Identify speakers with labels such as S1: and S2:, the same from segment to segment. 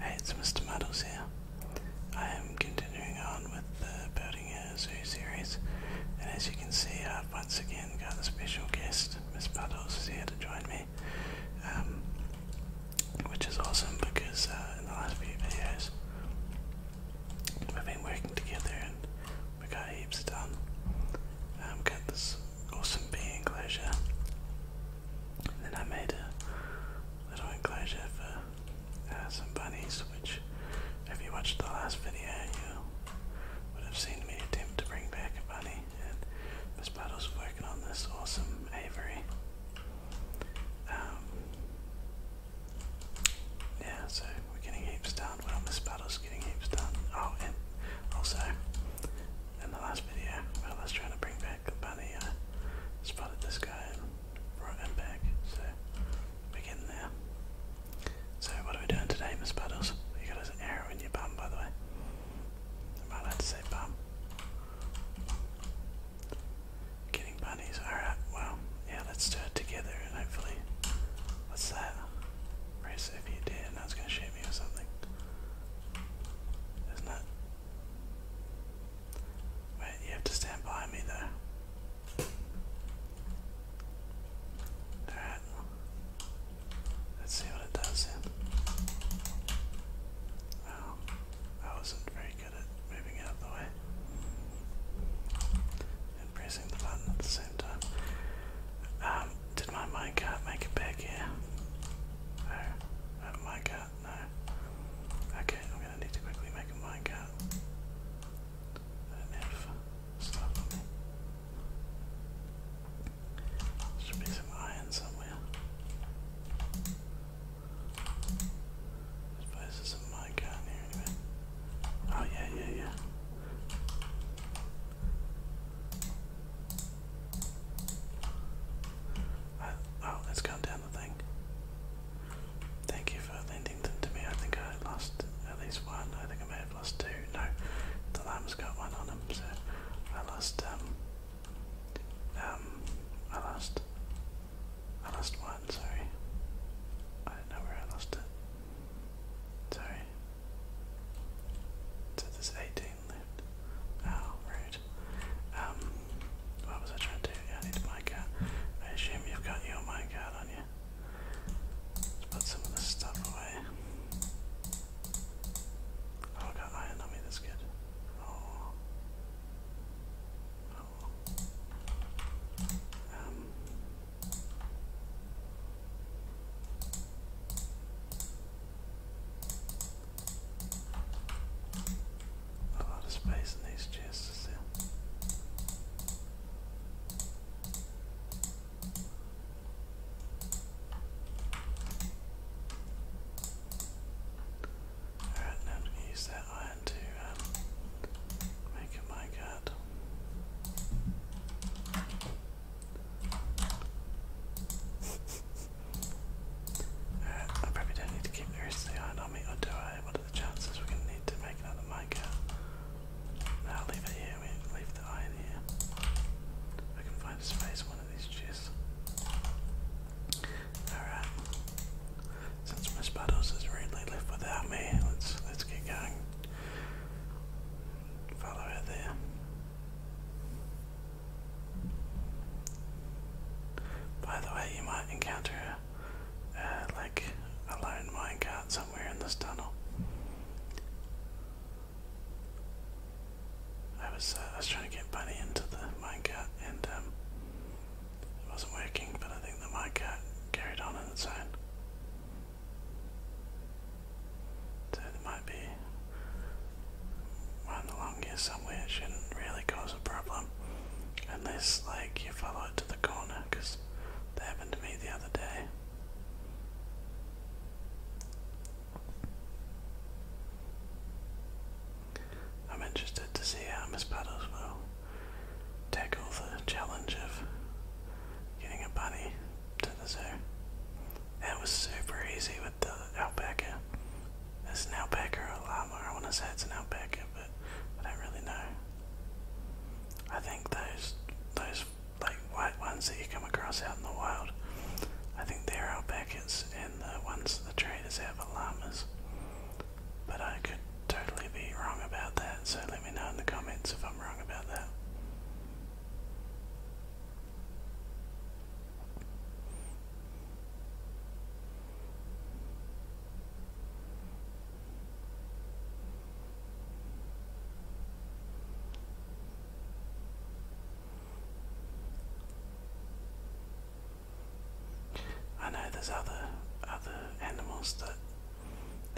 S1: Hey, it's Mr. Muddles here. I am continuing on with the Building a Zoo series, and as you can see, I've once again got a special guest. Miss Muddles is here to join me, um, which is awesome because uh, in the last few videos, we've been working together and we got heaps done. I've um, got this awesome being enclosure then I made a little enclosure for uh, some bunnies, which if you watched the last video, you would have seen me attempt to bring back a bunny. And Miss Puddle's working on this awesome Avery. Um, yeah, so we're getting heaps done. Well, Miss Puddle's getting heaps done. Oh, and also, in the last video when I was trying to bring back Bunny. Uh, spotted this guy and brought him back, so we there. So what are we doing today, Miss Puddles? You got an arrow in your bum, by the way. Am I allowed to say bum? Getting bunnies. Alright, well, yeah, let's do it together and hopefully... What's that? Press if you dare, now it's going to shoot me or something. Isn't it? Wait, you have to stand by me though. Alright. Let's see what it does then. I wasn't very good at moving out of the way. And pressing the button at the same time. Um, did my minecart make it back here? No, my minecart no. Okay, I'm gonna need to quickly make a minecart. I don't have Should be some iron somewhere. suppose there's some minecart in here anyway. Oh yeah, yeah, yeah. I, oh, has gone down Thank you for lending them to me. I think I lost at least one. I think I may have lost two. No, the lamb's got one on him, so I lost, um, um, I lost, I lost one, sorry. I don't know where I lost it. Sorry. So there's 18 lit. Oh, um, what was I trying to do? I need to mic I assume you've got your mic out on you. Let's put some of this stuff away. Oh, I got iron on that's good. Oh. Um. A lot of space in these chests Alright, now to use that iron to um, make a minecart. Alright, I probably don't need to keep the iron on me, or do I? What are the chances we're gonna need to make another mica? I'll leave it here, we leave the iron here. I can find a space one of these chests. Alright. Since Miss Buttles has really left without me, let's let's get going. Follow her there. By the way, you might encounter uh, like a lone minecart somewhere in this tunnel. I was uh, I was trying to get Bunny into the minecart and um, it wasn't working, but I think the minecart carried on on its own. So there might be run along here somewhere. It shouldn't really cause a problem. Unless, like, you follow it to the corner, because that happened to me the other day. I'm interested to see how Miss Puddles will tackle the challenge of getting a bunny to the zoo. That was super easy with the alpaca. It's an alpaca or a llama. I want to say it's an alpaca, but I don't really know. I think those those like white ones that you come across out in the wild, I think they're alpacas, and the ones that the traders have are llamas. But I could totally be wrong about that, so let me know in the comments if I'm wrong about that. I know there's other other animals that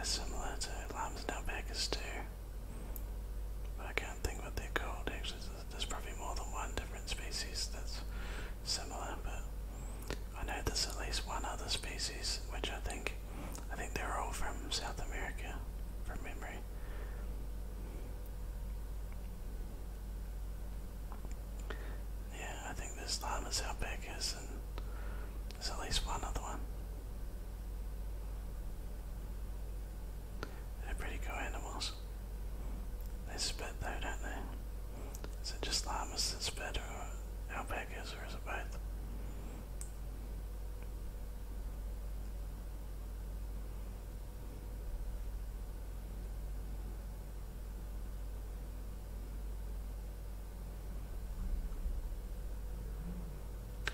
S1: are similar to lambs and alpacas too. But I can't think what they're called actually. There's probably more than one different species that's similar, but I know there's at least one other species, which I think, I think they're all from South America, from memory. Yeah, I think this llama's alpacas, and there's at least one other one. They're pretty cool animals. They spit though, don't they? Is it just llamas that spit or alpacas or is it both?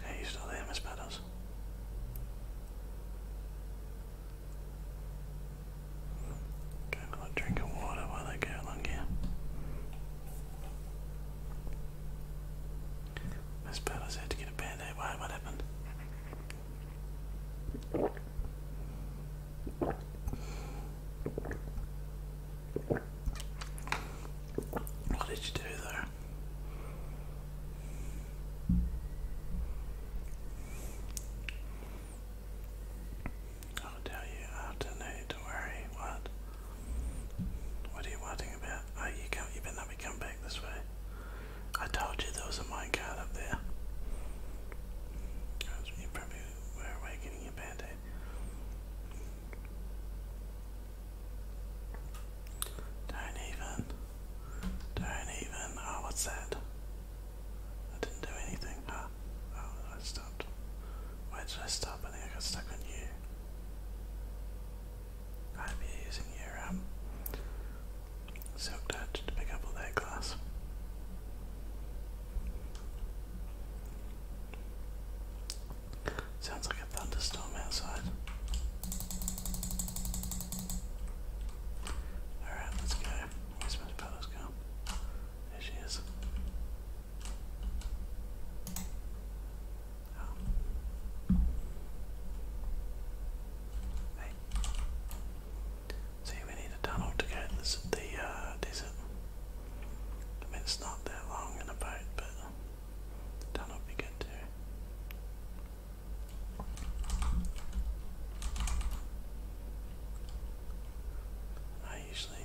S1: Hey, you still there, Miss Meadows? Go a drink of water while they go along here. Miss Battles had to get a band Why? What happened? What did you do there? I'll tell you after, no, don't worry, what? What are you writing about? Oh, you can you better not be coming back this way. I told you there was a minecart up there. You probably were getting your band Don't even. Don't even. Oh, what's that? I didn't do anything. oh, I stopped. Where did I stop? I think I got stuck on you. I'd using your um, silk touch to pick up all that glass. Sounds like a thunderstorm outside. Alright, let's go. Where's Miss Bellows gone? There she is. Um, See, we need a tunnel to get this, the uh, desert. I mean, it's not that long in a boat, but the tunnel would be good too. I usually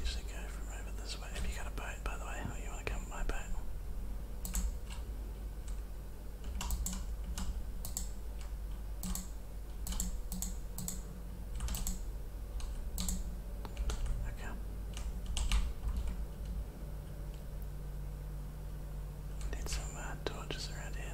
S1: usually go from over this way. If you got a boat, by the way, or you want to come with boat. Okay find torches around here,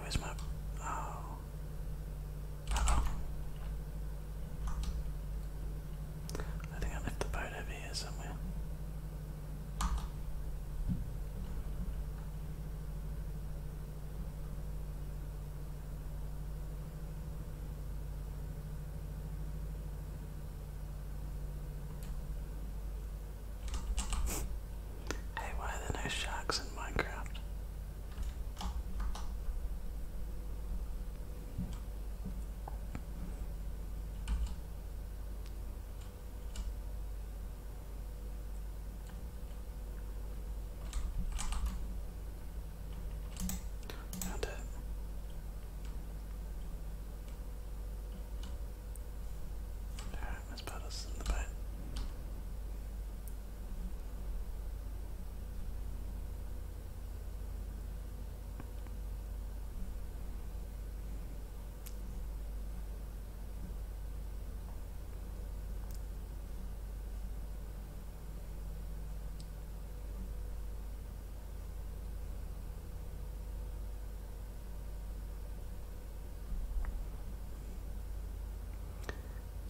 S1: where's my... oh. uh I think I left the boat over here somewhere. Hey, why are there no sharks in Minecraft? Found it. Alright, let's in the boat.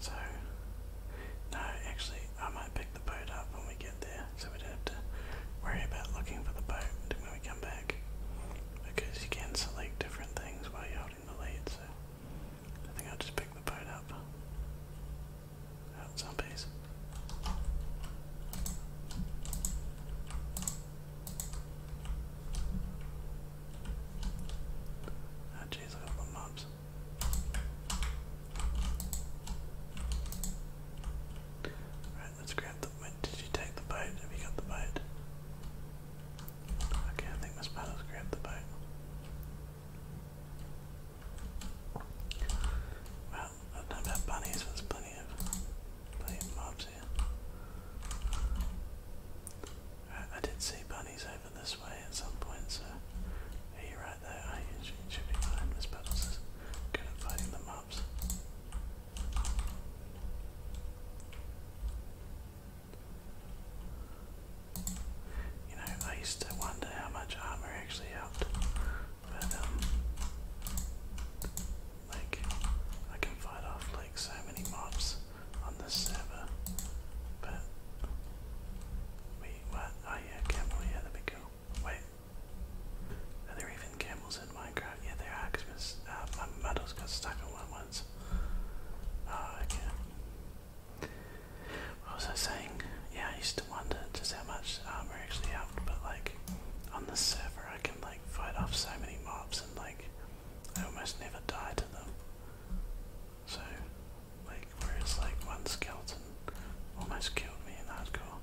S1: So, no, actually, I might pick the boat up when we get there so we don't have to worry about looking for the boat when we come back because you can select different things while you're holding the lead, so I think I'll just pick the boat up. Oh, zombies. Oh jeez, look at the mobs. Right, let's grab the. did you take the bite? Have you got the bite? Okay, I think Miss Meadows grabbed the bite. Well, I don't know bunnies, there's plenty of, plenty of mobs here. Uh, I did see bunnies over this way at some point, so are you right there? Are Should be fine. Miss Meadows is good at fighting the mobs. You know, I used to wonder how much armor actually helped, but um, like I can fight off like so many mobs on this server, but wait, what? Oh yeah, camel, yeah, that'd be Wait, are there even camels in Minecraft. Yeah, there are, because uh, my models got stuck in one once. Ah, what was I saying? Yeah, I used to wonder just how much armor actually helped, but like, on the server I can like fight off so many mobs and like, I almost never die to them. So, like, whereas like one skeleton almost killed me in hardcore.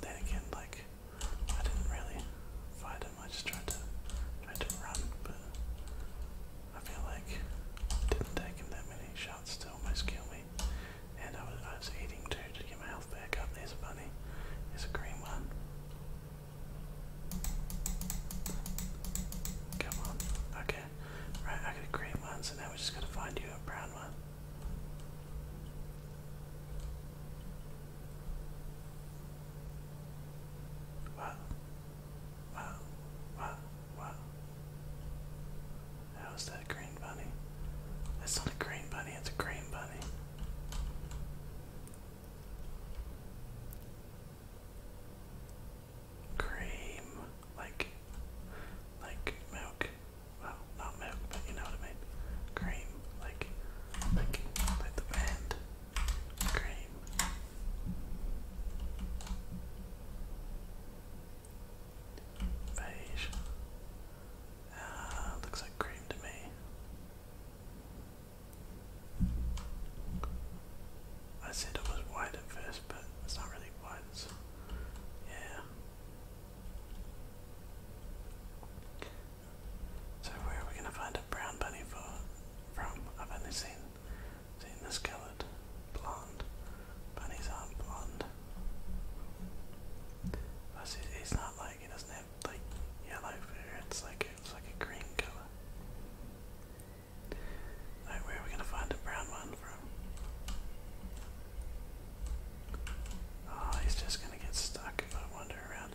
S1: Then again, like I didn't really fight him. I just tried to tried to run, but I feel like didn't take him that many shots to almost kill me. And I was I was eating too to get my health back up. There's a bunny. It's a green one. Come on. Okay. Right, I got green one, so now we just gotta find you a brown one. Wow. Wow. Wow. Wow. How's that green bunny? That's not a green bunny, it's a green bunny. Cream, like, like milk well, not milk, but you know what I mean. Cream, like, like, like the band. Cream. Beige. Uh, looks like cream to me. I said it was white at first, but it's not really white. It's, yeah, so where are we going to find a brown bunny for, from? I've only seen, seen this coloured blonde. Bunnies aren't blonde. Plus it's not like, it doesn't have like yellow fur, it's like, it's like a green colour. So where are we going to find a brown one from? Oh, he's just gonna get stuck if I wander around.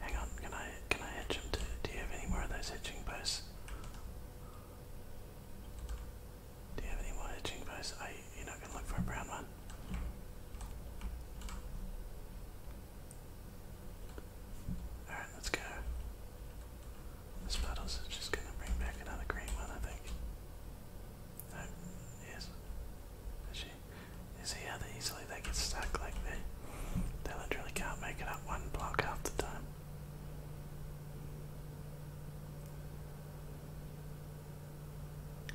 S1: Hang on, can I can I hitch him to do you have any more of those hitching posts? Do you have any more hitching posts? I you're not gonna look for a brown one. Alright, let's go. Miss This is just gonna bring back another green one, I think. No, oh, yes. Is she? You see how easily they get stuck like that? They literally can't make it up one block half the time.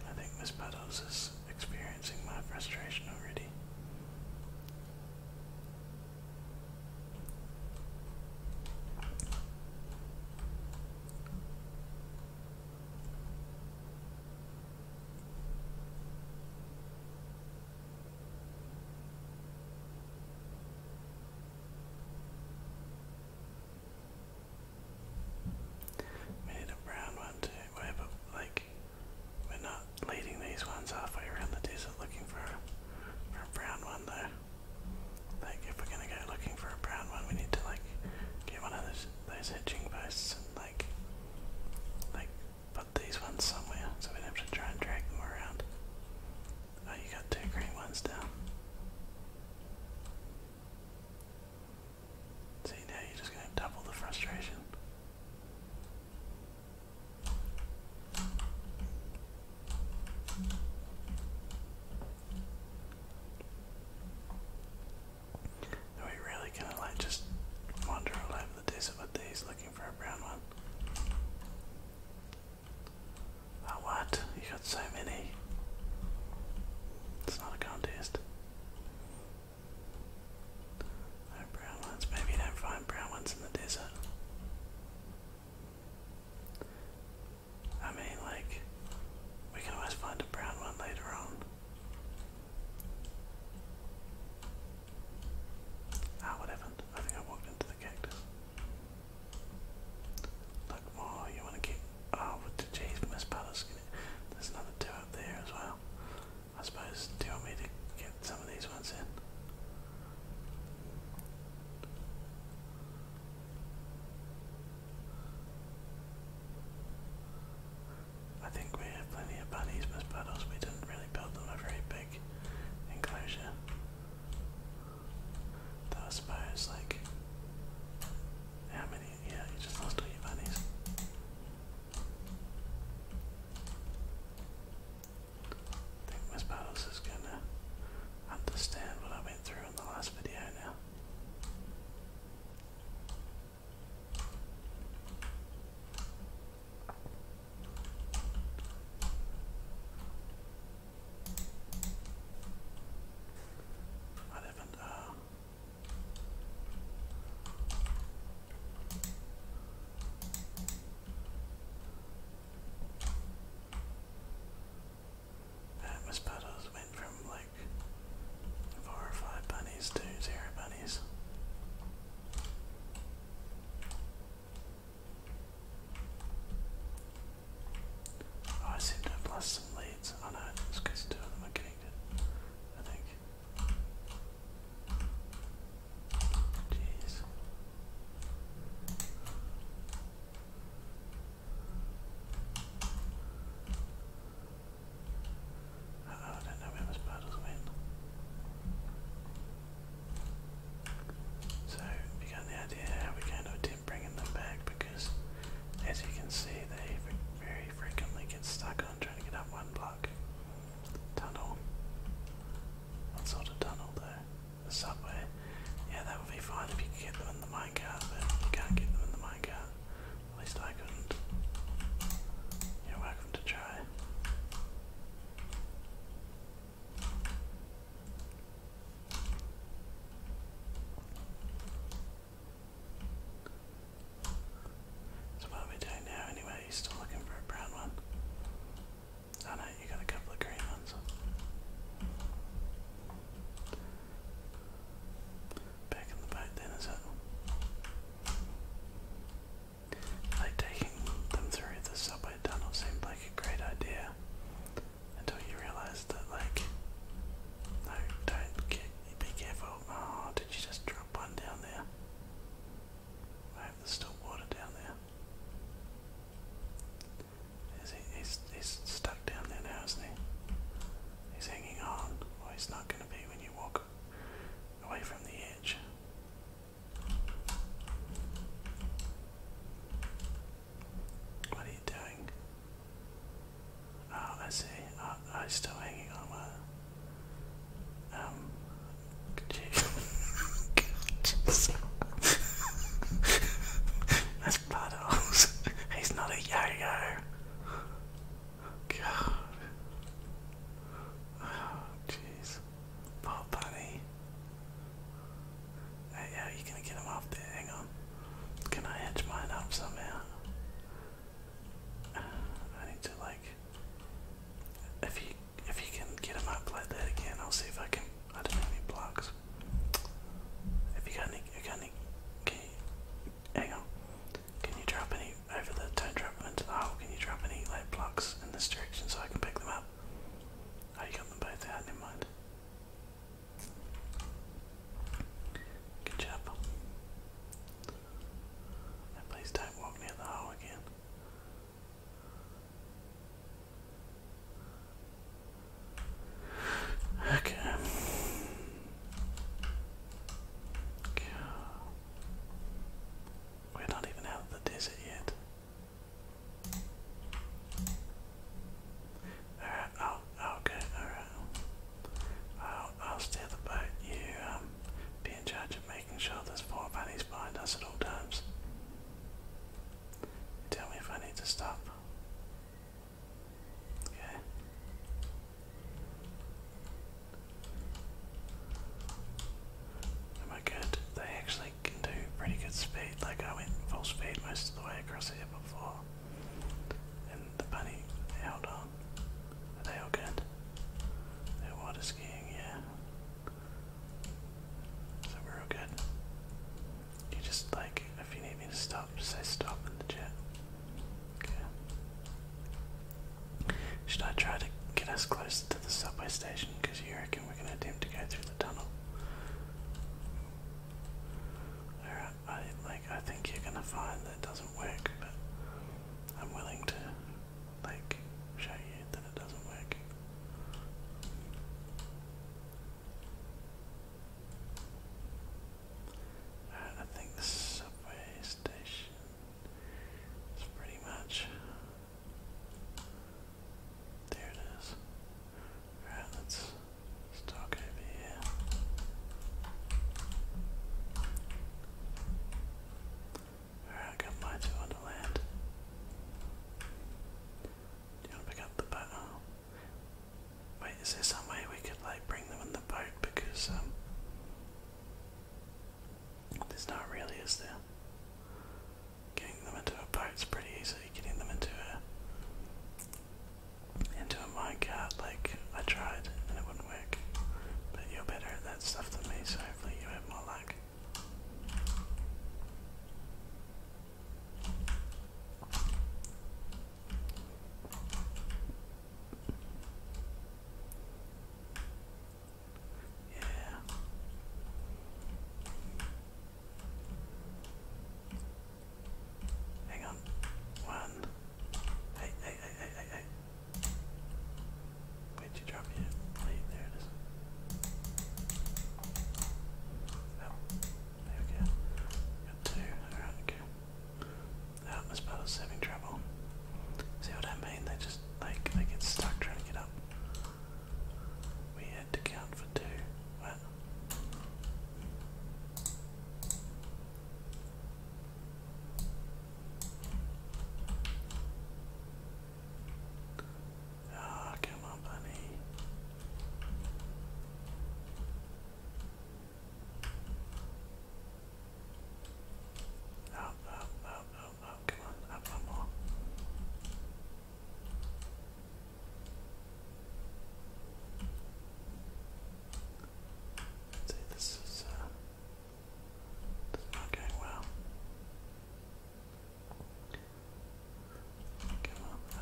S1: I think Miss Puddles is experiencing my frustration already. We a brown one too. We're, like, we're not leading these ones halfway around the desert looking for a, for a brown one though. Like, if we're gonna go looking for a brown one, we need to like get one of those those hitching posts and like like put these ones somewhere, so we don't have to try and drag them around. Oh, you got two green ones down. See, now you're just going to double the frustration. Are we really gonna like just wander all over the desert these looking for a brown one? Oh what? You got so many. It's not a contest. No brown ones. Maybe you don't find brown ones in the desert. I mean, like, we can always find a brown one later on. Ah, what happened? I think I walked into the cactus. Look, more, you want to keep. Oh, what the cheese miss There's another two up there as well. I suppose, do you want me to get some of these ones in? I think we have plenty of bunnies, Miss Puddles. We didn't really build them a very big enclosure. I suppose, like, how many? Yeah, you just lost all your bunnies. I think Miss Puddles is gonna understand what I went through in the last video now. I haven't, uh, uh, Miss Puddles went from like four or five bunnies to zero bunnies. Oh, I seem to have lost some leads. Oh no, it's because two of them are connected, I think. Jeez. I don't know where my spiders went. So we got the idea how we're going to attempt bringing them back because, as you can see, they very frequently get stuck on trying to get up one block. Tunnel. What sort of tunnel though? A subway. Yeah, that would be fine if you could get them in the minecart, but you can't get them in the minecart. At least I couldn't. You're welcome to try. So what are we doing now anyway? still looking for a brown one? Oh no, you got a couple of green ones. Back in the back then, is it? Like taking them through the subway tunnel seemed like a great idea until you realized that like no, don't get be careful. Oh, did you just drop one down there? I hope there's still water down there. Is he, stuck down there now, is he? He's hanging on. Well, he's not going to be when you walk away from the edge. What are you doing? Oh, I see. Oh, I'm oh, still hanging on. My, um, paddles. He's not a yo-yo. God. Oh, jeez. Poor bunny. Hey, are you gonna get him off there? Hang on. Can I edge mine up somehow? I need to like. If you if you can get him up like that again, I'll see if I can. I don't have any blocks. If you got any, got any, can you, hang can you drop any, over the, do into the hole, can you drop any light blocks in this direction so I can pick them up? Oh, you got them both out, never mind. Good job. Now please don't walk near the hole again. Okay. We're not even out of the desert yet. Alright, I'll, I'll go, alright. I'll, I'll steer the boat. You um, be in charge of making sure there's four bunnies behind us at all times. tell me if I need to stop. Am I good? They actually can do pretty good speed. Like I went full speed most of the way across here before. And the bunny held on. Are they all good? They're water skiing, yeah. So we're all good. You just like, if you need me to stop, say stop in the chat. Should I try to get us closer to the subway station? Because you reckon we're going to attempt to go through the tunnel. I like I think you're gonna find that doesn't work, but I'm willing to like show you that it doesn't work. Uh, I think subway station is pretty much. There it is. Alright, let's stalk over here. Alright, I got Do you want to pick up the bat? Wait, is there some way we could like bring them in the boat because um there's not really is there? Getting them into a boat's pretty easy, getting them into a into a minecart like I tried and it wouldn't work. But you're better at that stuff than me, so hopefully you have more luck. Yeah. Hang on. One. Hey, hey, hey, hey, hey, hey. Where'd you There it is. There we go. Got two. Alright, okay. That was about us having trouble. See what I mean? They just like they get stuck trying to get up. We had to count for two. What? Oh, ah, come on, bunny. Up, up, up, up, up, come on, up one more. see, uh, this is not going well that.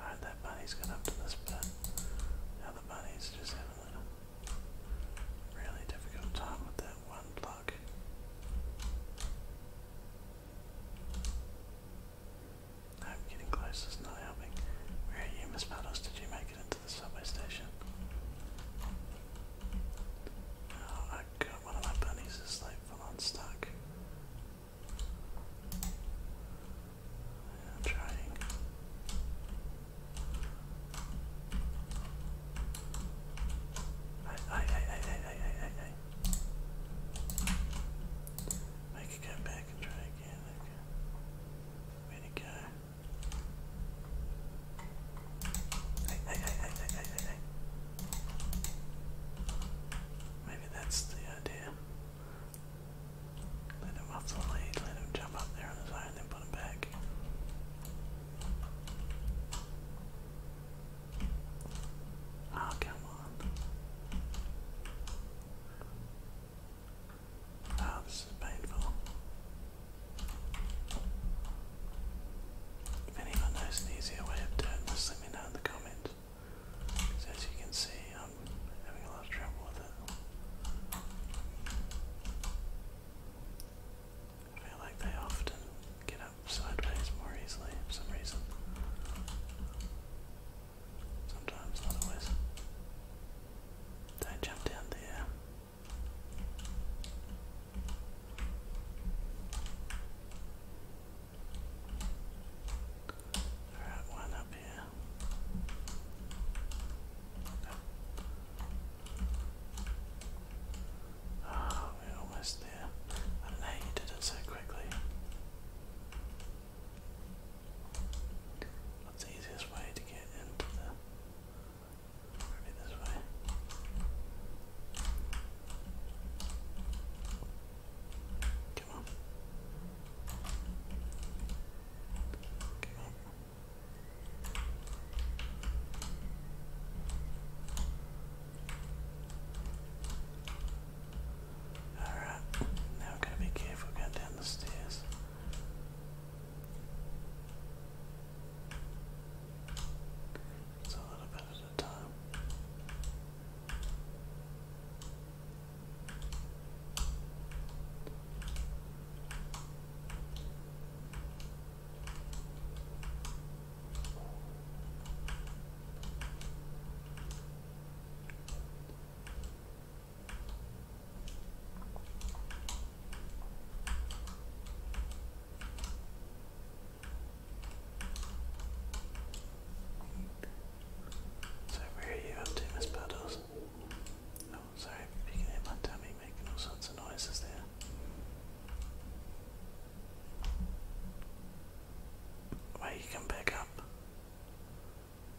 S1: Alright, that bunny's got up to this Now the bunny's just having a really difficult time with that one block. I'm getting close, it's not helping. Where are you, Miss Puddles? Did you make it into the subway station? Oh, I got one of my bunnies is like full on stuck. I'm trying. Hey, hey, hey, hey, hey, hey, hey, hey. Make it go back and try there we go. Where'd go? Hey, hey, hey, hey, hey, hey, hey, Maybe that's the idea. Let him off the lead, let him jump up there on his own, then put him back. Oh, come on. Oh, this is painful. If anyone knows an easier way of doing this, let me know in the comments. Because as you can see, I'm having a lot of trouble with it. I feel like they often get up sideways more easily for some reason. Sometimes, otherwise. Don't jump down there. Alright, one up here. Okay. Ah, we're almost there. I know you did it so quickly. That's the easiest way to get into the. Maybe this way. Come on. Come on. Alright, now we've got to be careful going down the stairs. It's a little bit at a time. So where are you up to, Miss Puddles? Oh, sorry, you can hear my tummy making all sorts of noises there. Why you come back up?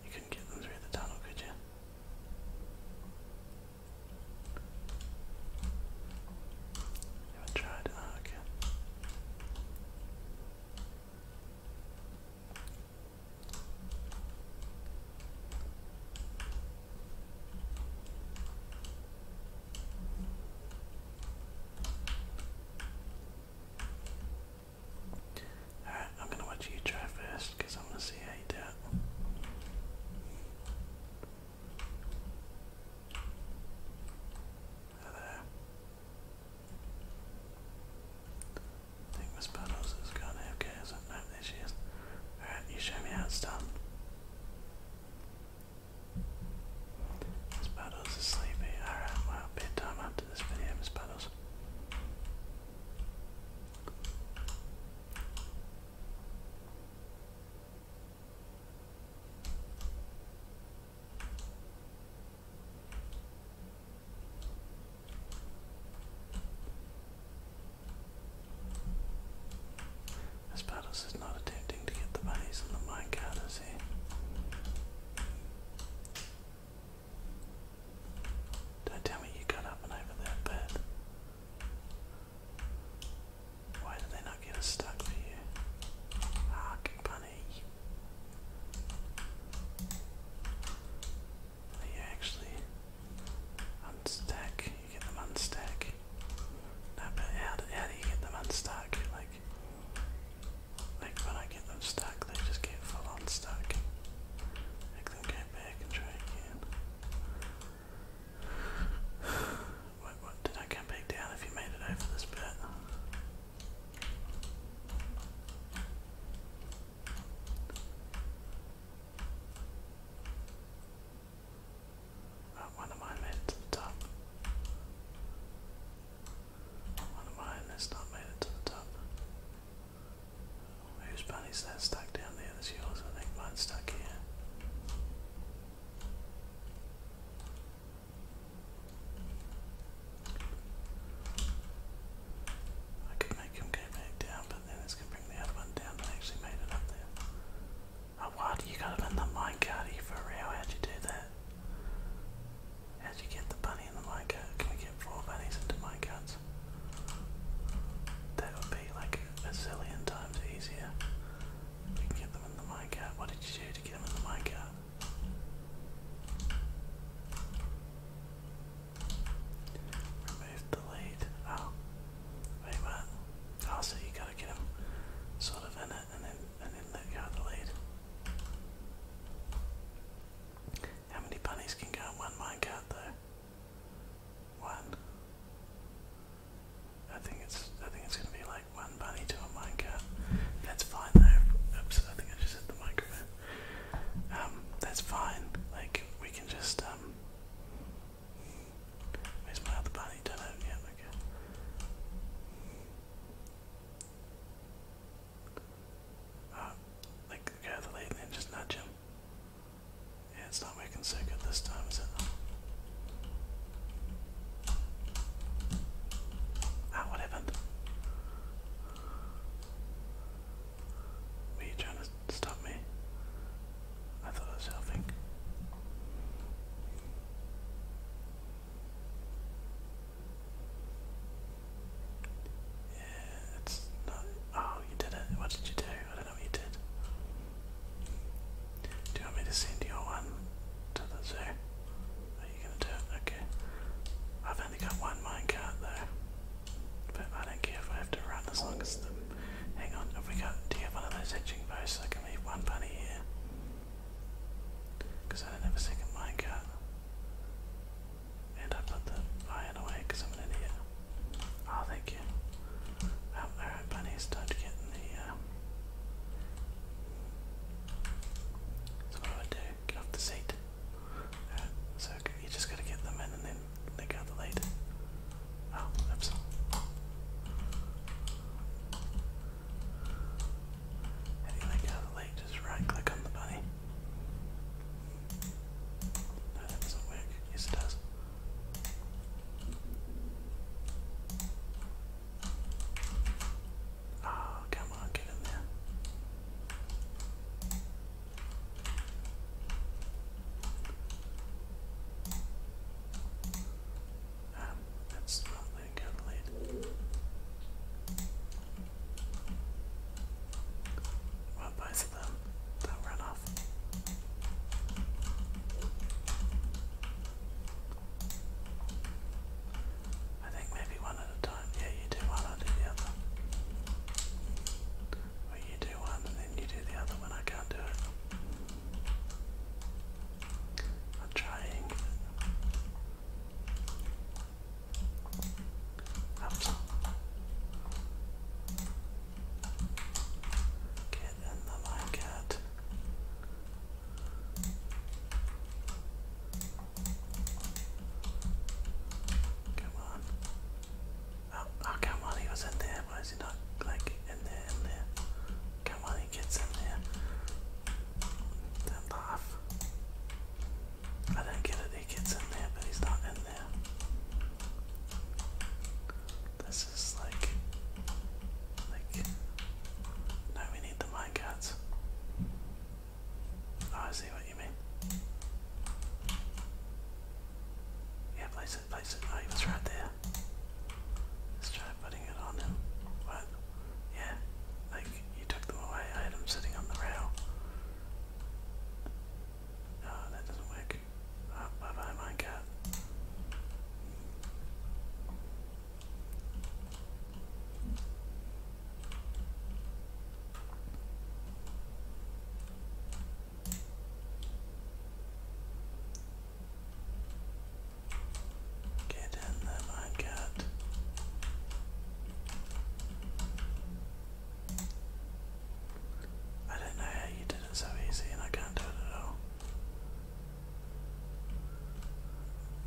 S1: You couldn't get them through the tunnel, could you? You tried? Ah, okay. Alright, I'm gonna watch you try first because I'm gonna see how you do it. I think Miss Puddles is gone AFK, okay, isn't No, there she is. Alright, you show me how it's done. Miss Puddles is sleepy. Alright, well, bedtime after this video, Miss Puddles. Aspatos is not attempting to get the bodies on the minecart, is he? Don't tell me you got up and over that bed. Why did they not get us stuck for Hark, ah, bunny. You actually unstack. You get them unstack. No, but how do you get them unstuck? Like, like when I get them stuck, they just get full on stuck. Make them go back and try again. Wait, what? Did I come back down if you made it over this bit? Oh, one of mine to the top. One of mine not made it to the top. Who's bunny's that stuck down there? That's yours, I think. Mine's stuck here. I could make him go back down, but then it's going bring the other one down that actually made it up there. Oh, what? You got him in the minecart for a How'd you do that? How do you get the bunny and the micat? Can we get four bunnies into micats? That would be like a zillion times easier. We can get them in the micat. What did you do to get them in the micat? Remove the lead. Oh. Wait, what? Oh, you gotta get them sort of in it and then, and then let go the lead. How many bunnies can go in one minecart though? One. I think it's I think it's gonna be like one bunny to a minecart. That's fine though. Oops, I think I just hit the microphone. Um, that's fine. Like we can just um, Where's my other bunny? Don't know. Yeah, okay. Uh, like, the the late and just nudge him. Yeah, it's not making so good this time, is it? Ah, what happened? Were you trying to stop me? I thought I was helping. Yeah, it's not. Oh, you did it. What did you do? I don't know what you did. Do you want me to send your one to the zoo? Are you gonna do it? Okay. I've only got one minecart though. But I don't care if I have to run as long as the. Hang on, have we got. Do you have one of those hitching posts? I can leave one bunny here. Because I don't have a second minecart. And I put the iron away because I'm an idiot. Oh, thank you. Um, Alright, bunnies don't get the. Uh, so, what I do? Get off the seat. Uh, so you just gotta get them in and then they go the lead. Oh, oops. How you let go the lead? Just right click on the bunny. No, that doesn't Yes, it does. Oh, come on, get in there. Um, that's not letting go lead. Well, both them, they'll off. I think maybe one at a time. Yeah, you do one, I do the other. Or you do one and then you do the other when I can't do it. I'm trying. Oops. Get in the blanket. Come on. Oh, oh, come on, he was in there. Why is he not, like, in there, in there? Come on, he gets in there. Then laugh. I don't get it. He gets in there, but he's not in there. This is like, like. now we need the minecarts. Oh, I see what you mean. Yeah, place it, place it. Oh, he was right there. Let's try putting it on him. What? Yeah, like you took them away. I had him sitting on the rail. No, that doesn't work. bye bye, my cat. Get in there, my cat. I don't know how you did it so easy and I can't do it at all.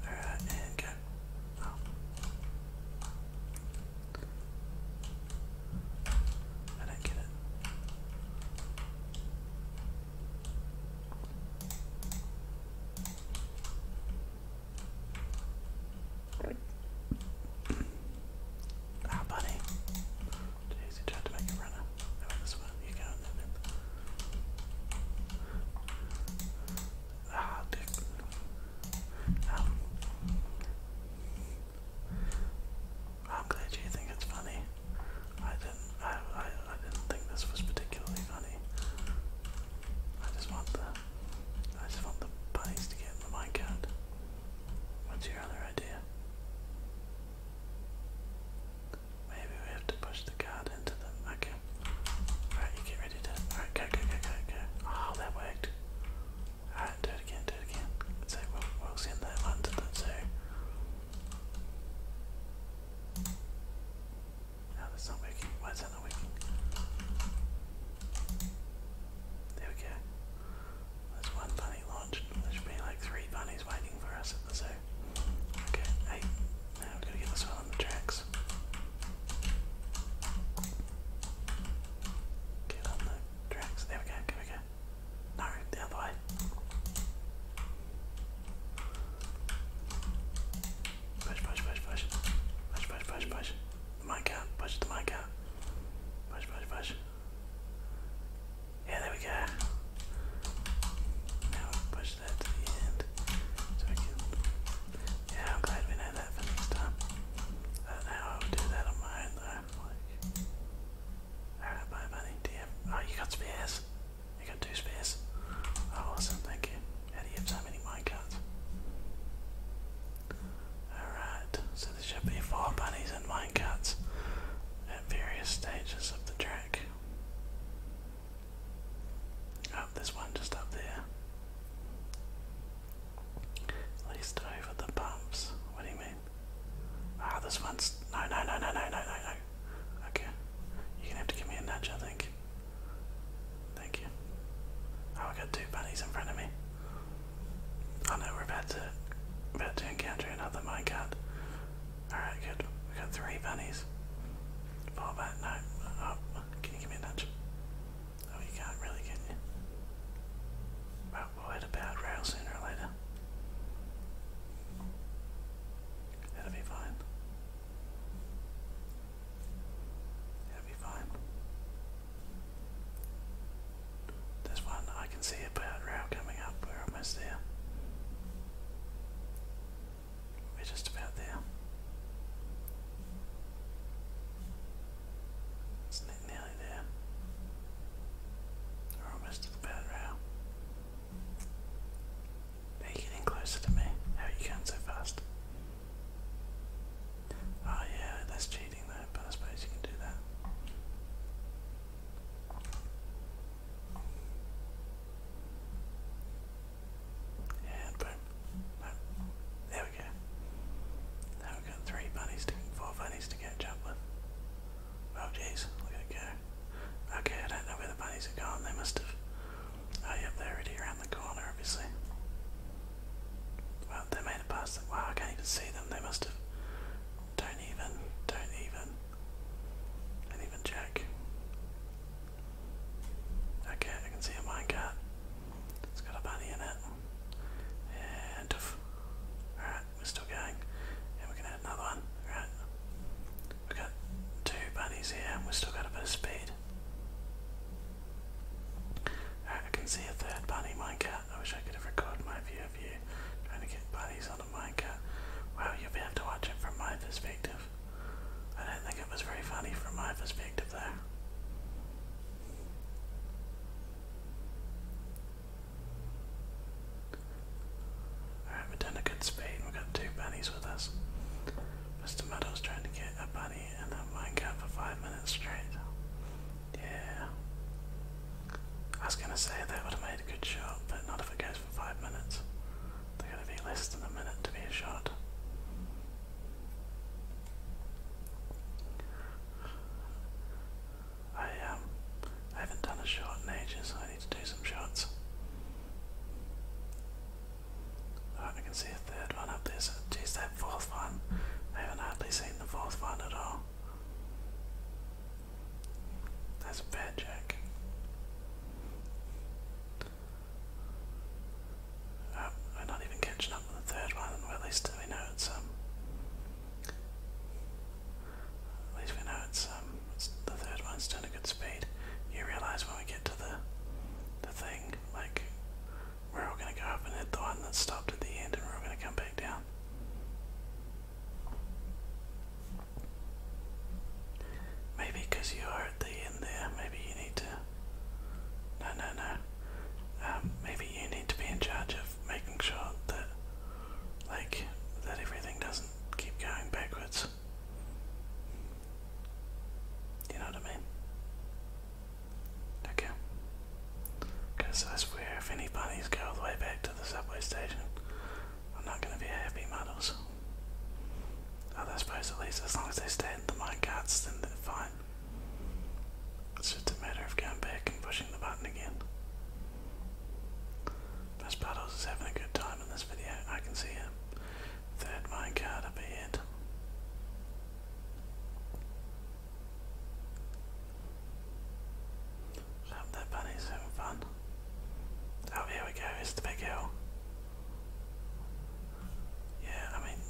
S1: Alright, go. I don't get it. Ah, buddy. Jeez, you to make a runner. No, this You go and then. Ah, dick. I'm glad you think it's funny. I didn't. I, I. didn't think this was particularly funny. I just want the. I just want the bunnies to get in the minecart. What's your other idea? Maybe we have to push the card into them. Okay. Alright, you get ready to. Alright, go, go, go, go, go. Oh, that worked. Alright, do it again, do it again. So we'll, we'll send that one to the zoo. No, that's not working. Why is that not working? There we go. There's one bunny launched. There should be like three bunnies waiting for us at the zoo. Okay, eight. Now we've got to get this one on the tracks. Get on the tracks. There we go, there we go. No, the other way. Push, push, push, push. Push, push, push, push the mic out, push the mic out. Push, push, push. Yeah, there we go. Now push that to the end. So I can. Yeah, I'm glad we know that for next time. how I would do that on my own though. Like, Alright, bye, buddy. Do Oh, you got spares? You got two spares? Oh, awesome, thank you. How do you have Alright, so there should be four bunnies and minecats at various stages of the track. Oh, there's one just up there. At least over the bumps. What do you mean? Ah, this one's. no, no, no, no, no, no, no. Okay. You're gonna have to give me a nudge, I think. Thank you. Oh, I got two bunnies in front of me. Oh no, we're about to about to encounter another minecart. Alright, good. We got three bunnies. Fall back, no. Oh, can you give me a nudge? Oh, you can't really, can you? Well, we'll hit a bad rail sooner or later. That'll be fine. That'll be fine. There's one I can see a bad rail coming up. We're almost there. We're just about there. It's nearly there. We're almost to the bad rail. Are getting closer to me? How you going so fast? Oh yeah, that's cheating though, but I suppose you can do that. Yeah, boom. There we go. There we go. three bunnies to four bunnies to catch up with. Oh jeez, look at go. Okay, I don't know where the bunnies are gone, they must have Oh yeah, they're already around the corner obviously. Well, they made it past. Wow, I can't even see them. They must have. Don't even. Don't even. Don't even check. Okay, I can see a minecart. It's got a bunny in it. And. Alright, we're still going. And we're gonna add another one. Alright. We've got two bunnies here and we've still got a bit of speed. Alright, I can see a third bunny minecart. I wish I could have recorded my view of you trying to get bunnies on a minecat. Wow, you'll be able to watch it from my perspective. I don't think it was very funny from my perspective though. Alright, we're done a good speed. We've got two bunnies with us. Mr. Muddle's trying to get a bunny and a minecart for five minutes straight. Yeah. I was gonna say that would have made a good shot, but not if it goes for five minutes. They're gonna be less than a minute to be a shot. I um I haven't done a shot in ages, so I need to do some shots. I can see a third one up there, so geez, that fourth one. I haven't hardly seen the fourth one at all. That's a bad joke. Oh, we're not even catching up with the third one, well at least we know it's um at least we know it's um it's, the third one's doing a good speed. You realise when we get to the the thing, like we're all going to go up and hit the one that stopped at the end, and we're all going to come back down. Maybe because you are at the end there, maybe you need to. No, no, no. Um, maybe you need to be in charge of making sure that, like, that everything doesn't keep going backwards. You know what I mean? Okay. Okay, so that's where if any bunnies go all the way back to the subway station, I'm not gonna be happy muddles. Other oh, I suppose at least as long as they stay in the minecarts then they're fine. It's just a matter of going back and pushing the button again. Miss is having a good time in this video. I can see a third minecart up ahead. Shove their bunnies having fun. Oh, here we go, Mr. big hill. Yeah, I mean,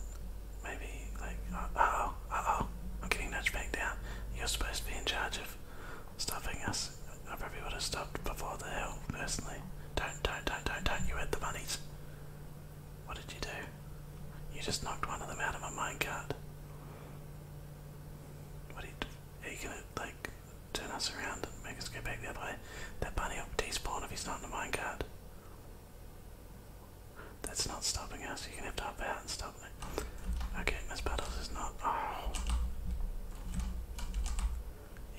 S1: maybe, like, oh, oh, I'm getting nudged back down. You're supposed to be in charge of stopping us. I probably would have stopped before the hill, personally. Don't, don't, don't, don't, don't, you had the bunnies. What did you do? You just knocked one of them out of my minecart. What are you, gonna, like, turn us around and make us go back the way? That bunny will despawn if he's not in the minecart. That's not stopping us. You're gonna have to hop out and stop Okay, Miss Puddles is not. Oh.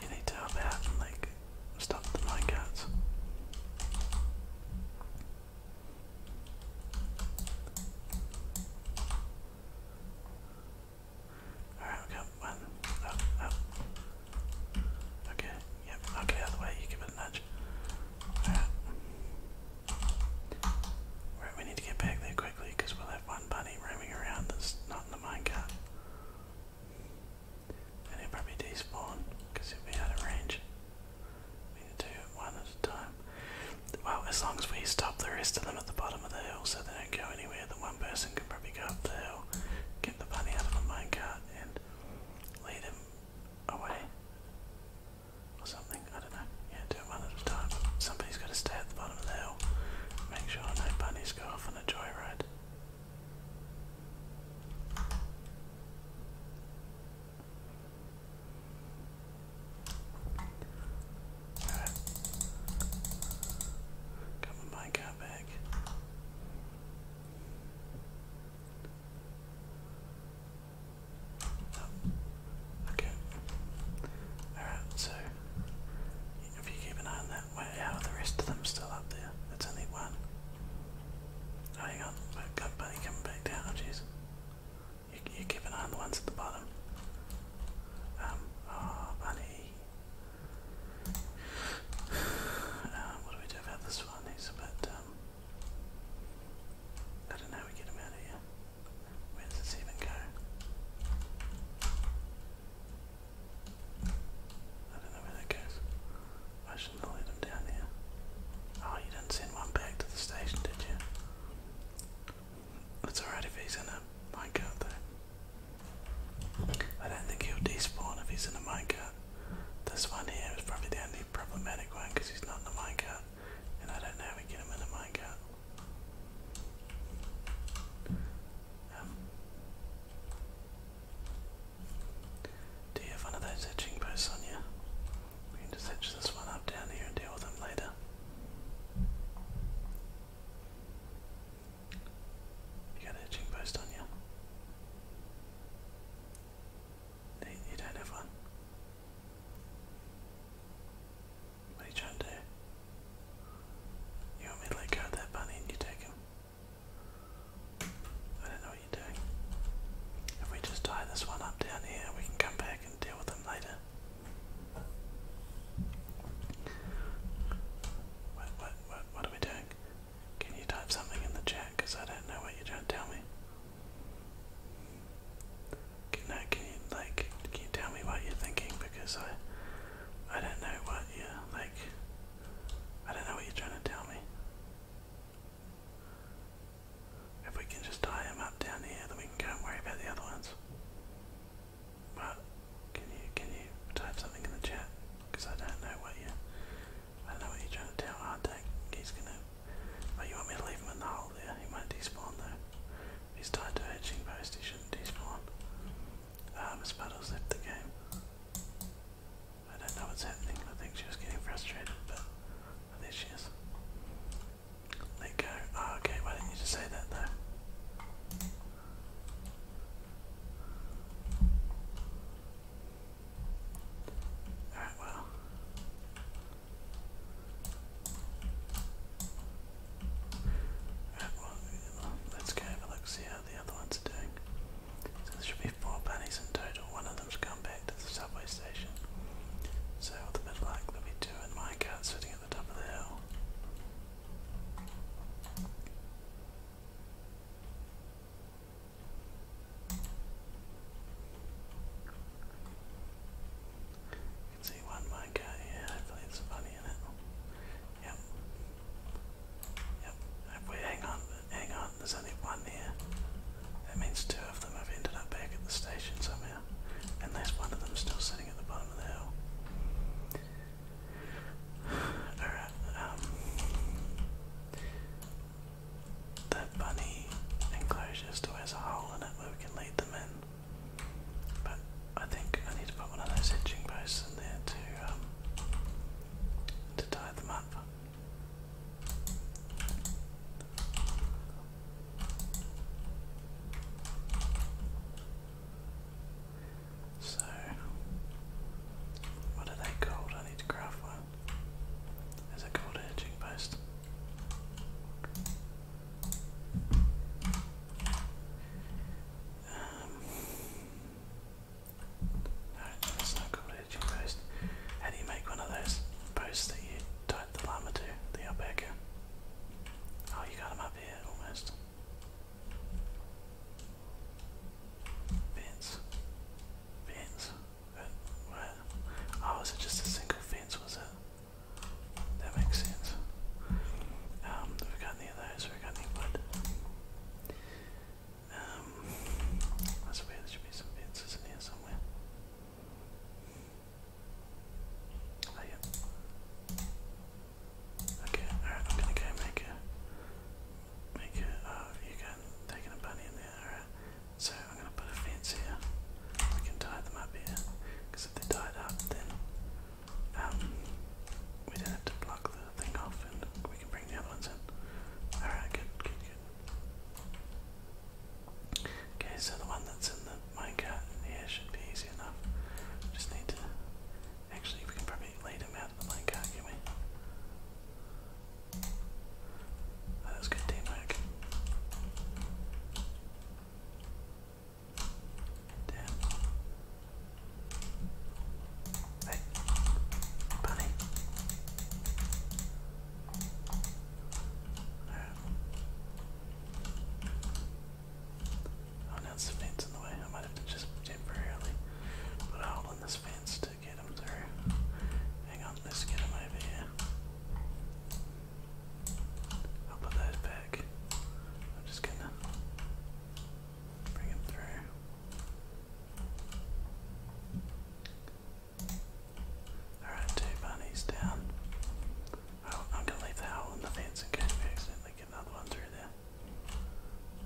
S1: You need to hop out and like stop the minecarts. Alright, we got one. Oh, oh. Okay, yep, I'll the way, you give it a nudge. Alright. Right, we need to get back there quickly because we'll have one bunny roaming around that's not in the minecart. And it will probably despawn because it will be out of range. We need to do it one at a time. Well, as long as we stop the rest of them at the bottom of the hill so they don't go anywhere, then one person can probably go up the hill, get the bunny out of the minecart, and lead him away. Or something, I don't know. Yeah, do it one at a time. Somebody's got to stay at the bottom of the hill. Make sure no bunnies go off on a joyride. Alright. Coming my car back. Oh, okay. Alright, so if you keep an eye on that how are the rest of them still up there? It's only one. Oh, hang on, we've got Bunny back down. jeez. You, you keep an eye on the ones at the bottom. Um, oh, bunny. Um, what do we do about this one? He's a um, I don't know we get him out of here. Where does this even go? I don't know where that goes station to lead them down here. Oh, you didn't send one back to the station, did you? It's alright if he's in a minecart though. I don't think he'll despawn if he's in a minecart. This one here is probably the only problematic one because he's not in a minecart. And I don't know how we get him in a minecart. Um, do you have one of those hitching posts on you? We can just hitch this one up down here and deal with them later. You got a hitching post on you? you don't have one. What are you trying to do? You want me to let go of that bunny and you take him? I don't know you doing? If we just tie this one up down here, we can come back and deal with them later. What, what, what, what are we doing? Can you type something in the chat? Because I don't know what you're trying to tell me. no, uh, can you like? Can you tell me what you're thinking? Because I, I don't know what you like. I don't know what you're trying to tell me. If we can just tie him up down here, then we can go and worry about the other ones. But can you can you type something in the chat? Because I don't know what you I don't know what you're trying to tell Artek. He's gonna. Oh, you want me to leave him in the hole there? He might despawn though. He's tied to a hitching post. He shouldn't despawn. Ah, um, Miss left the game. I don't know what's happening. I think she was getting frustrated, but there she is. Let go. Ah, okay, why didn't you just say that though? Alright, well. Alright, well, let's go have a look, see how the other ones are doing. So there should be four bunnies in total. One of them's gone back to the subway station. So with a bit of luck there'll be sitting at the top of the hill. You can see one minecart here, hopefully it's funny in it. Yep. Yep. hang on, hang on, there's only one here. That means two of them have ended up back at the station somehow, and there's one of them still sitting at the bottom of the hill. Alright, um, bunny enclosure still has a hole in it where can lead them in, but I think I need to put one of those hitching posts in there to, um, to tie them up. So, what are they called? I need to craft one. Is it called a hitching post? Um, no, that's not called a post. How do you make one of those posts that you the llama too? The alpaca? Oh, you got him up here almost. Fence. Fence. What? Oh, was it just a single fence, was it? That makes sense. Um, have got any of those? Have got any wood? Um, I swear there should be some fences in here somewhere. Oh, okay, alright, I'm gonna make a. Make a. Uh, you can. Taking a bunny in there, alright. So I'm gonna put a fence here. We can tie them up here. Because if they tie it up, then. Um, we don't have to block the thing off and we can bring the other ones in. Alright, good, good, good. Okay, so the one that's in the minecart here should be easy enough. Just need to. Actually, we can probably lead him out of the minecart, can we? Oh, that was good teamwork. Damn. Hey, bunny. Oh, now the fence in the way. I might have to just temporarily put a hole in this fence to get him through. Hang on, let's get him over here. I'll put those back. I'm just gonna bring him through. Alright, two bunnies down. Oh, I'm gonna leave the hole in the fence in case we accidentally get another one through there.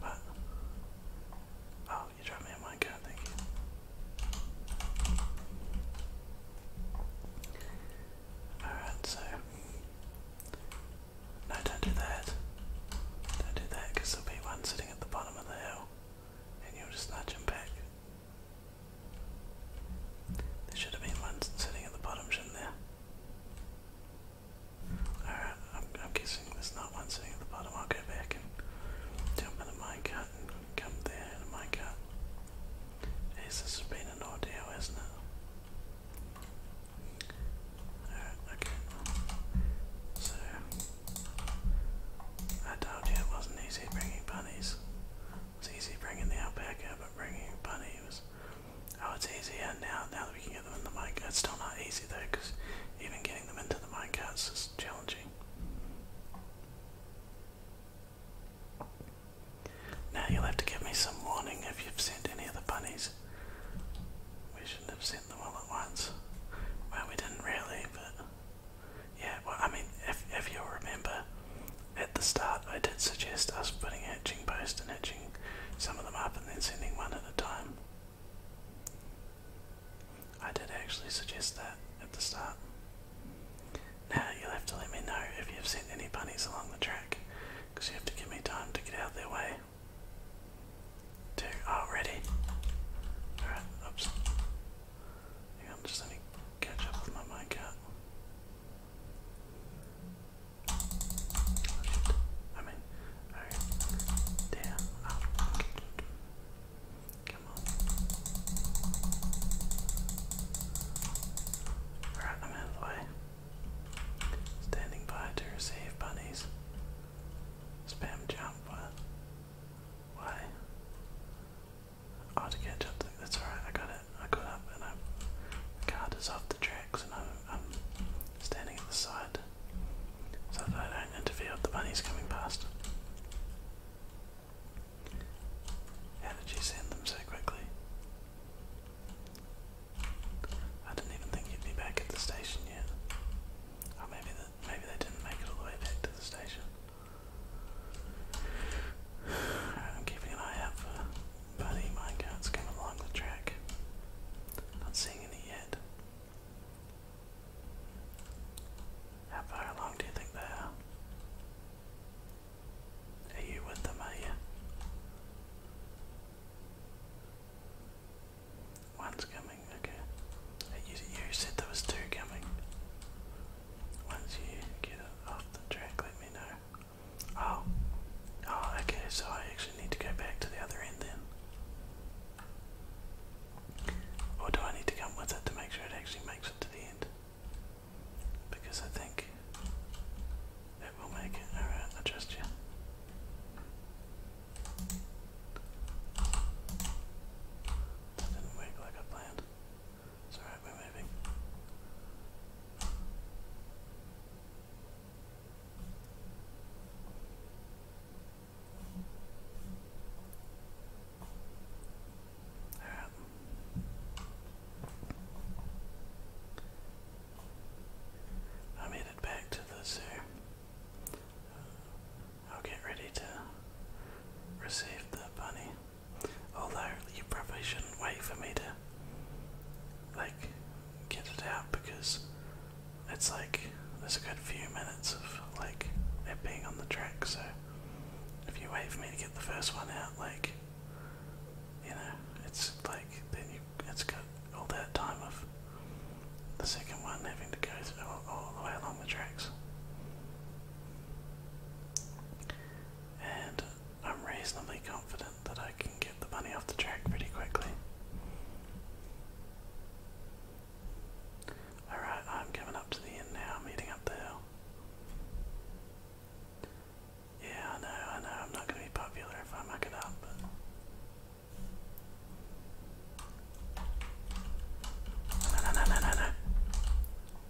S1: But oh, you dropped me in one gun, thank Alright, so no, don't do that. Don't do that there'll be one sitting at the bottom of the hill and you'll just nudge back. There should have been one sitting at the bottom, shouldn't there? Alright, I'm, guessing there's not one sitting at the bottom. I'll go back and jump in a minecart and come there in a minecart. Yes, this has been an ordeal, hasn't it? Alright, okay. So, I told you it wasn't easy bringing bunnies. It's easy bringing the alpaca, but bringing Bunny was. Oh, it's easier now. Now that we can get them in the mine, it's still not easy though, because even getting them into the minecarts is challenging. Now you'll have to give me some warning if you've sent any of the bunnies. We shouldn't have sent them all at once. Well, we didn't really, but yeah, well, I mean, if, if you'll remember, at the start I did suggest us putting hatching post and hatching some of them up and then sending one at a time. I did actually suggest that at the start. Now you'll have to let me know if you've sent any bunnies along the track, because you have to give me time to get out of their way. Two already. Oh, Alright, oops. Hang on, just gonna catch up with my minecart. Oh, I mean, Damn. Come on. Alright, I'm out of the Standing by to receive bunnies. Spam jump. What? Uh, Why? Oh, to catch up. That's alright, I got it. I got up and I'm, the card is off the tracks and I'm, I'm standing at the side so that I don't interfere with the bunnies coming past. How did you send them so quickly? I didn't even think you'd be back at the station yet. Oh, maybe, the, maybe they didn't make it all the way back to the station. I'm keeping an eye out for Buddy minecarts coming along the track. Not seeing any yet. How far along do you think they are? Are you with them, are you? One's coming, okay. you said there was two coming. Once you get off the track, let me know. Oh, oh, okay, so I actually need to go back to the other end then. Or do I need to come with it to make sure it actually makes it to the end? Because I think it will make it. Alright, I trust you. didn't work like I planned alright, we're moving. Um, I'm headed back to the zoo. Uh, I'll get ready to receive the bunny. Although you probably shouldn't wait for me to like get it out because it's like there's a good few minutes of like it being on the track so if you wait for me to get the first one out like you know it's like then you it's got all that time of the second one having to go through all, all the way along the tracks. And I'm reasonably confident that I can get the money off the track pretty quickly. Alright, I'm coming up to the end now, I'm meeting up the hill. Yeah, I know, I know, I'm not going to be popular if I muck it up,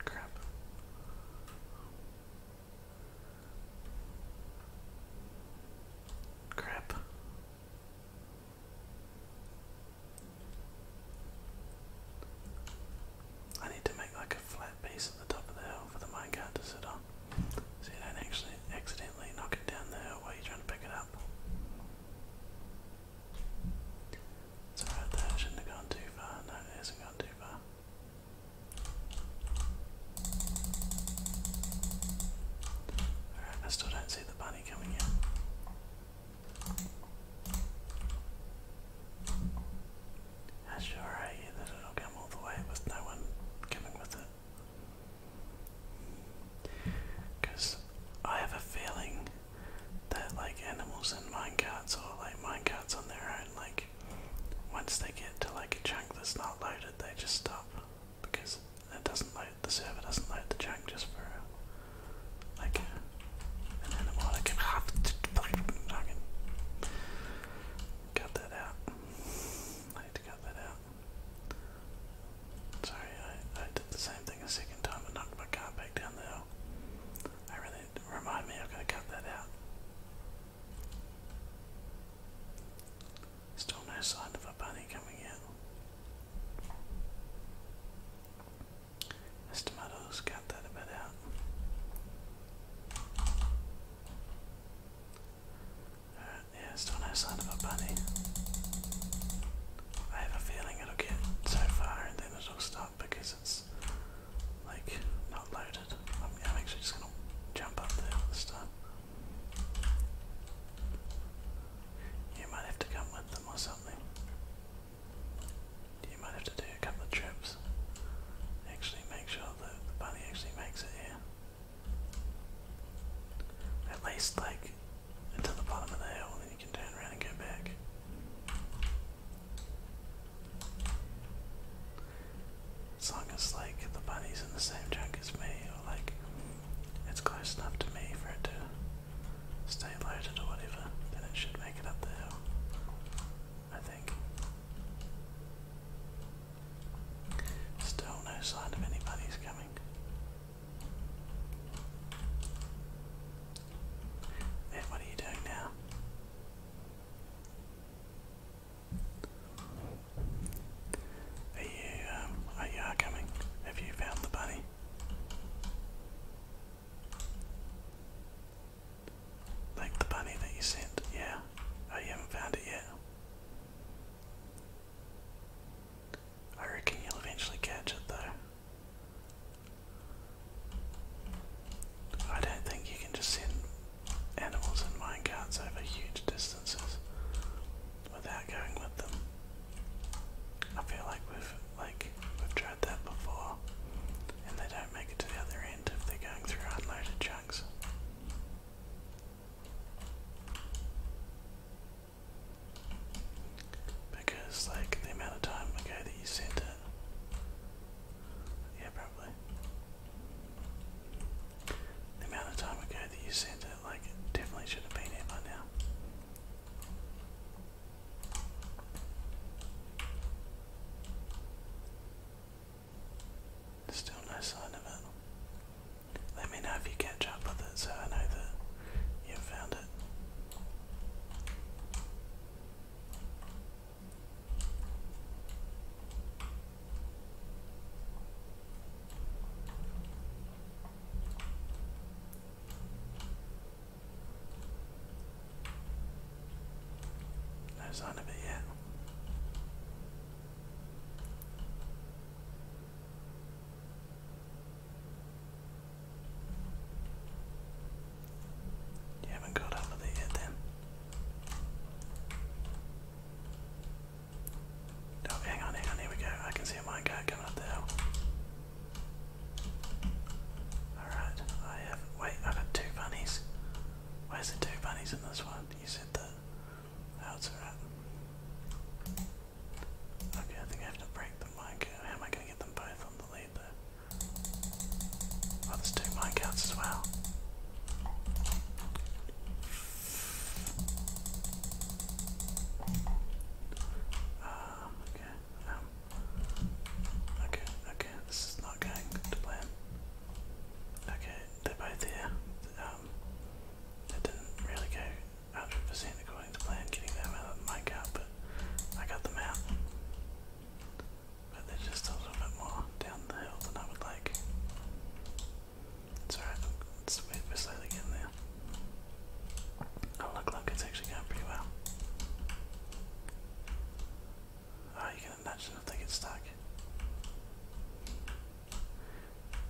S1: Crap. Crap. I need to make like a flat piece at the top of the hill for the minecart to sit on. So you don't actually accidentally knock it down the while you're trying to pick it up. It's alright there, I shouldn't have gone too far. No, it hasn't gone too far. Alright, I still don't see the bunny coming in. How sure are you that it'll come all the way with no one coming with it? Because I have a feeling that like animals in minecarts or like minecarts on their own, like once they get to like a chunk that's not loaded, they just stop because it doesn't load the server doesn't load the chunk just for a, like an animal. Like a half fucking cut that out. I had to cut that out. Sorry, I did the same thing a second time and knocked my car back down the hill. I really remind me, i am going to cut that out. Still no sign of a bunny coming out. This tomatoes cut that a bit out. Alright, yeah, still no sign of a bunny. I have a feeling it'll get so far and then it'll stop because like not loaded. I'm, actually just gonna jump up there this You might have to come with them or something. You might have to do a couple trips. Actually, make sure that the bunny actually makes it here. At least, like, until the bottom of the hill, then you can turn around and go back. As long as like the bunny's in the same junk as me, or like it's close enough to me for it to stay loaded or whatever, then it should make it up the hill. I think. Still no sign of any bunnies coming. And what are you doing now? Are you, um, are you coming? Have you found the bunny? Like the bunny that you sent? Yeah. Oh, you haven't found it yet? I reckon you'll eventually catch it though. I don't think you can just send animals in minecarts over huge distances without going with them. I feel like we've like we've tried that before and they don't make it to the other end if they're going through unloaded chunks. Because like the amount of time ago that you sent it yeah, probably. The amount of time ago that you sent it, like, definitely should have been here by now. Still no sign of it. Let me know if you catch up with it so I know that you found it. No sign of it yet. You haven't got up with yet then. Oh, hang on, hang on, here we go. I can see a minecart coming up the hill. Alright, I have. Wait, I've got two bunnies. Where's the two bunnies in this one? You said that. Oh, it's alright. Okay, I think I have to break the minecart. How am I going to get them both on the lead though? Oh, there's two minecarts as well. Um, okay, um, okay, okay, this is not going to plan. Okay, they're both there. it um, didn't really go 100% according to plan getting them mic out, but I got them out. But they're just a little bit more down the hill than I would like. It's alright, we're slowly getting there. Oh look, look, it's actually going pretty well. Oh, you can imagine if they get stuck.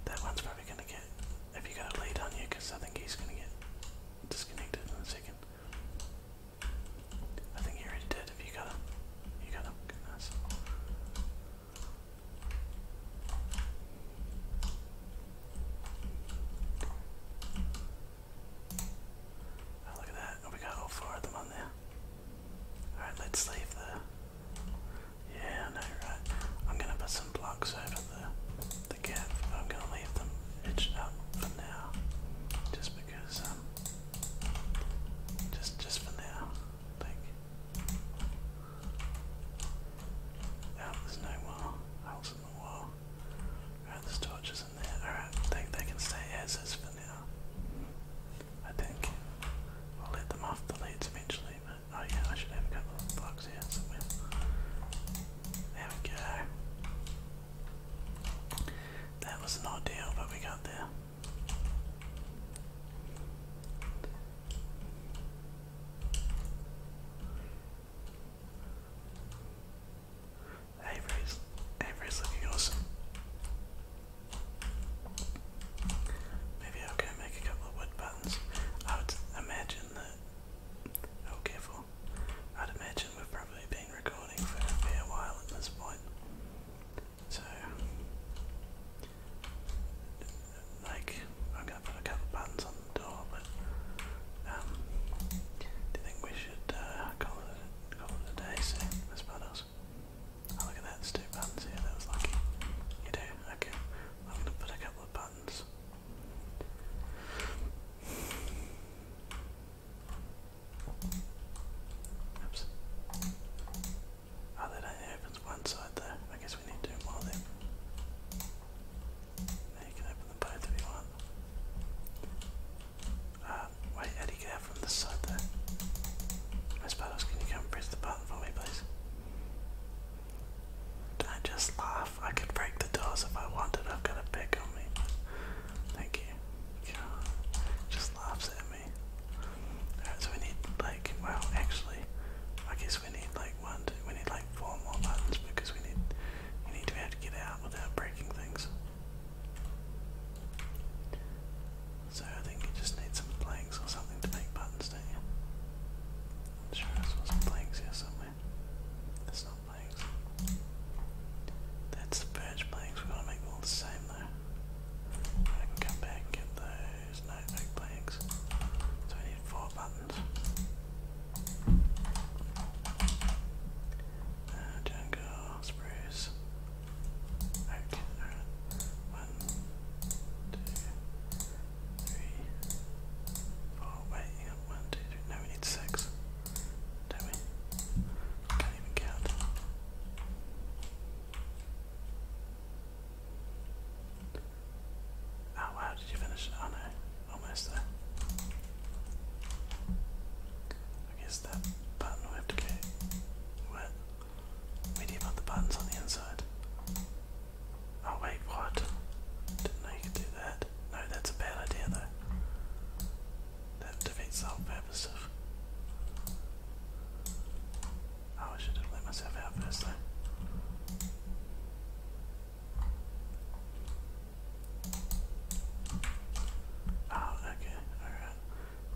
S1: That one's probably going to get, if you got a lead on you, because I think he's going to get disconnected in a second. I think you already did. If you got him, you got him. Goodness. Ah, look at that. we got all four of them on there. Alright, let's leave the. Yeah, no, right. I'm gonna put some blocks over the, the gap, I'm gonna leave them edged up for now. Just because um just just for now think there's no wall holes in the wall. Alright, there's torches in there. Alright, they they can stay as is for now. I think. I'll let them off the leads eventually, but oh yeah, I should have a couple of blocks here somewhere. There we go. That was not ideal, but we got there. Avery's, Avery's looking awesome. Maybe I'll make a couple of wood buttons. I would imagine that. Oh, careful. I'd imagine we've probably been been recording for a while at this point. So, like, I'm gonna put a couple buttons on the door, but um, do you think we should uh, call it call it a day soon, Miss Oh, look at that, there's two buttons here. That was lucky. You do? Okay. I'm gonna put a couple of buttons. Oops. Oh, that only opens one side there. I guess we need two more then. Now you can open them both if you want. Uh, wait, how get out from this side there? Miss Battles, can you come press the button for me, please? Don't just laugh. I could break the doors if I wanted. I've got a pick on me. Thank you. God. Just laughs at me. Alright, so we need like, well actually, I guess we need like one, two, we need like four more buttons because we need, we need to be able to get out without breaking things. So I think you just need some planks or something to make buttons, don't you? I'm sure I saw some planks here somewhere. It's not that's the birch planks. We're gonna make all the same though. I can come back and get those no planks. So we need four buttons. Uh, jungle, spruce, One, two, three, four. Wait, hang on. we need six don't we? Can't even count. Oh wow, did you finish? Oh no, almost there. I guess that button we have to go. Where? Where do you buttons on the inside? Oh wait, what? Didn't know you could do that. No, that's a bad idea though. That defeats the whole purpose of. Oh, I should have let myself out first though. Oh, okay, alright.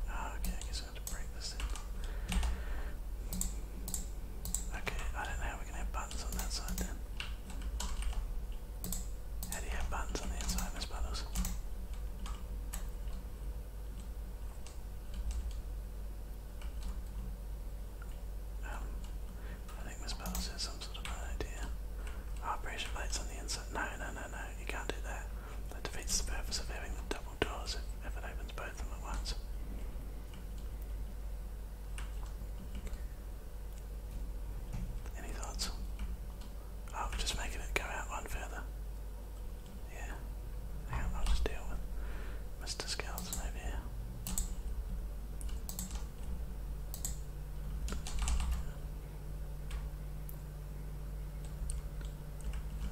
S1: Oh, okay, I guess I to break this in. Okay, I don't know how we can have buttons on that side then do you have buttons on the inside of those um, I think Miss Puddles has some sort of idea. Oh, pressure on the inside. No, no, no, no, you can't do that. That defeats the purpose of having the double doors if, if it opens both of them at once. Any thoughts? I'm just making it go out one further. Yeah. I'll just deal with Mr. Skeleton over here.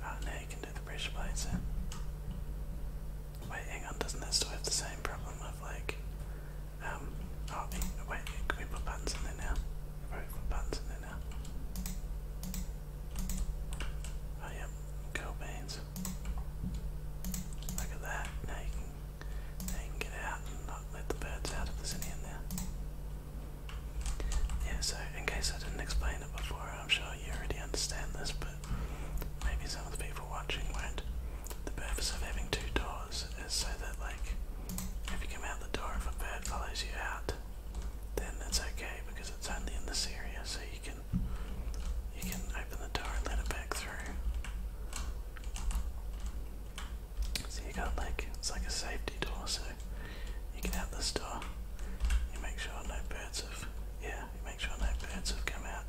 S1: Oh, now you can do the pressure plates Wait, hang on, doesn't that still have the same problem of like, um, oh, wait, we put buttons in there now? we put buttons in Oh yep, Cobain's. Look at that. Now you can get out and not let the birds out if there's any in Yeah, so in case I didn't explain it before, I'm sure you already understand this, but maybe some of the people watching won't. The purpose of having two doors so that like if you come out the door if a bird follows you out then that's okay because it's only in this area so you can you can open the door and let it back through. So you got like it's like a safety door so you can out this door. You make sure no birds have yeah, you make sure no birds have come out.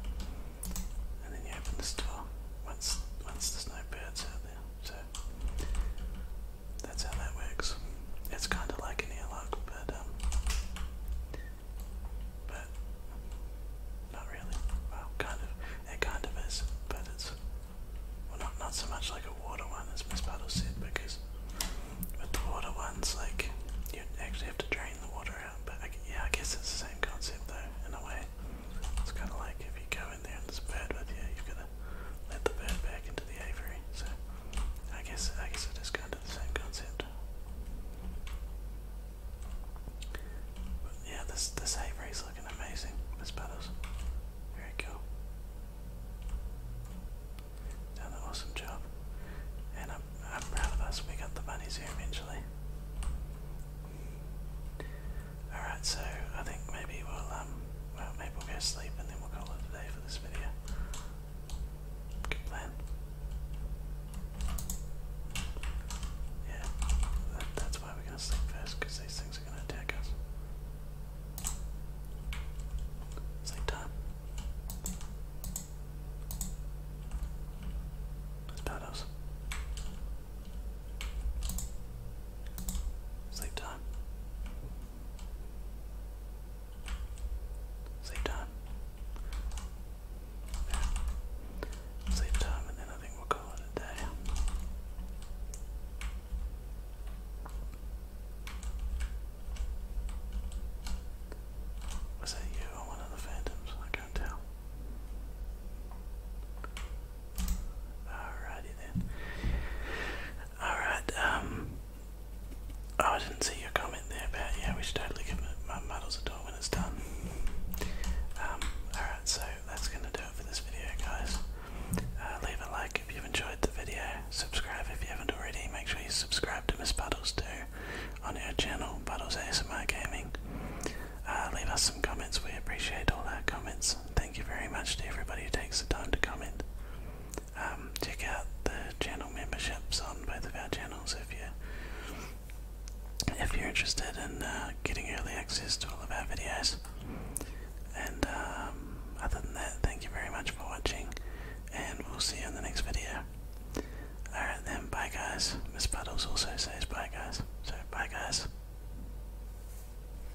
S1: And then you open this door once once there's no birds out there. So that's how that works. It's kind of like an airlock, but um, but not really. Well, kind of. It kind of is, but it's well, not not so much like a water one as Miss Puddle said, because with water ones, like you actually have to drain the water out. But yeah, I guess it's the same concept though, in a way. It's kind of like if you go go there's a bird with you, you've got to let the bird back into the aviary. So I guess I guess it is kind of the same concept. But yeah, this this aviary's looking amazing. Miss Puddles, very cool. Done an awesome job, and I'm I'm proud of us. We got the bunnies here eventually. Alright, so I think maybe we'll, um, well, maybe we'll go sleep and then we'll call it a day for this video. Good plan. Yeah, that's why we're gonna sleep first, these things are gonna attack us. Sleep time. That's Sleep time. Sleep time. Sleep time, and then I think we'll call it a day. Was that you or one of the phantoms? I can't tell. Alrighty then. Alright, um, Oh, I didn't see your comment there about, yeah, we should totally give my models a door when it's done. Um, alright, so that's gonna do it for this video, guys. Uh, leave a like if you've enjoyed the video. Subscribe if you haven't already. Make sure you subscribe to Miss Buttles too on our channel, Buttles ASMR Gaming. Uh, leave us some comments. We appreciate all our comments Thank you very much to everybody who takes the time to comment. Um, check out the channel memberships on both of our channels if you if you're interested in uh, getting early access to all of our videos. And um, other than that, thank you very much for watching, and we'll see you in the next video. Alright then, bye guys. Miss Puddles also says bye guys. So bye guys.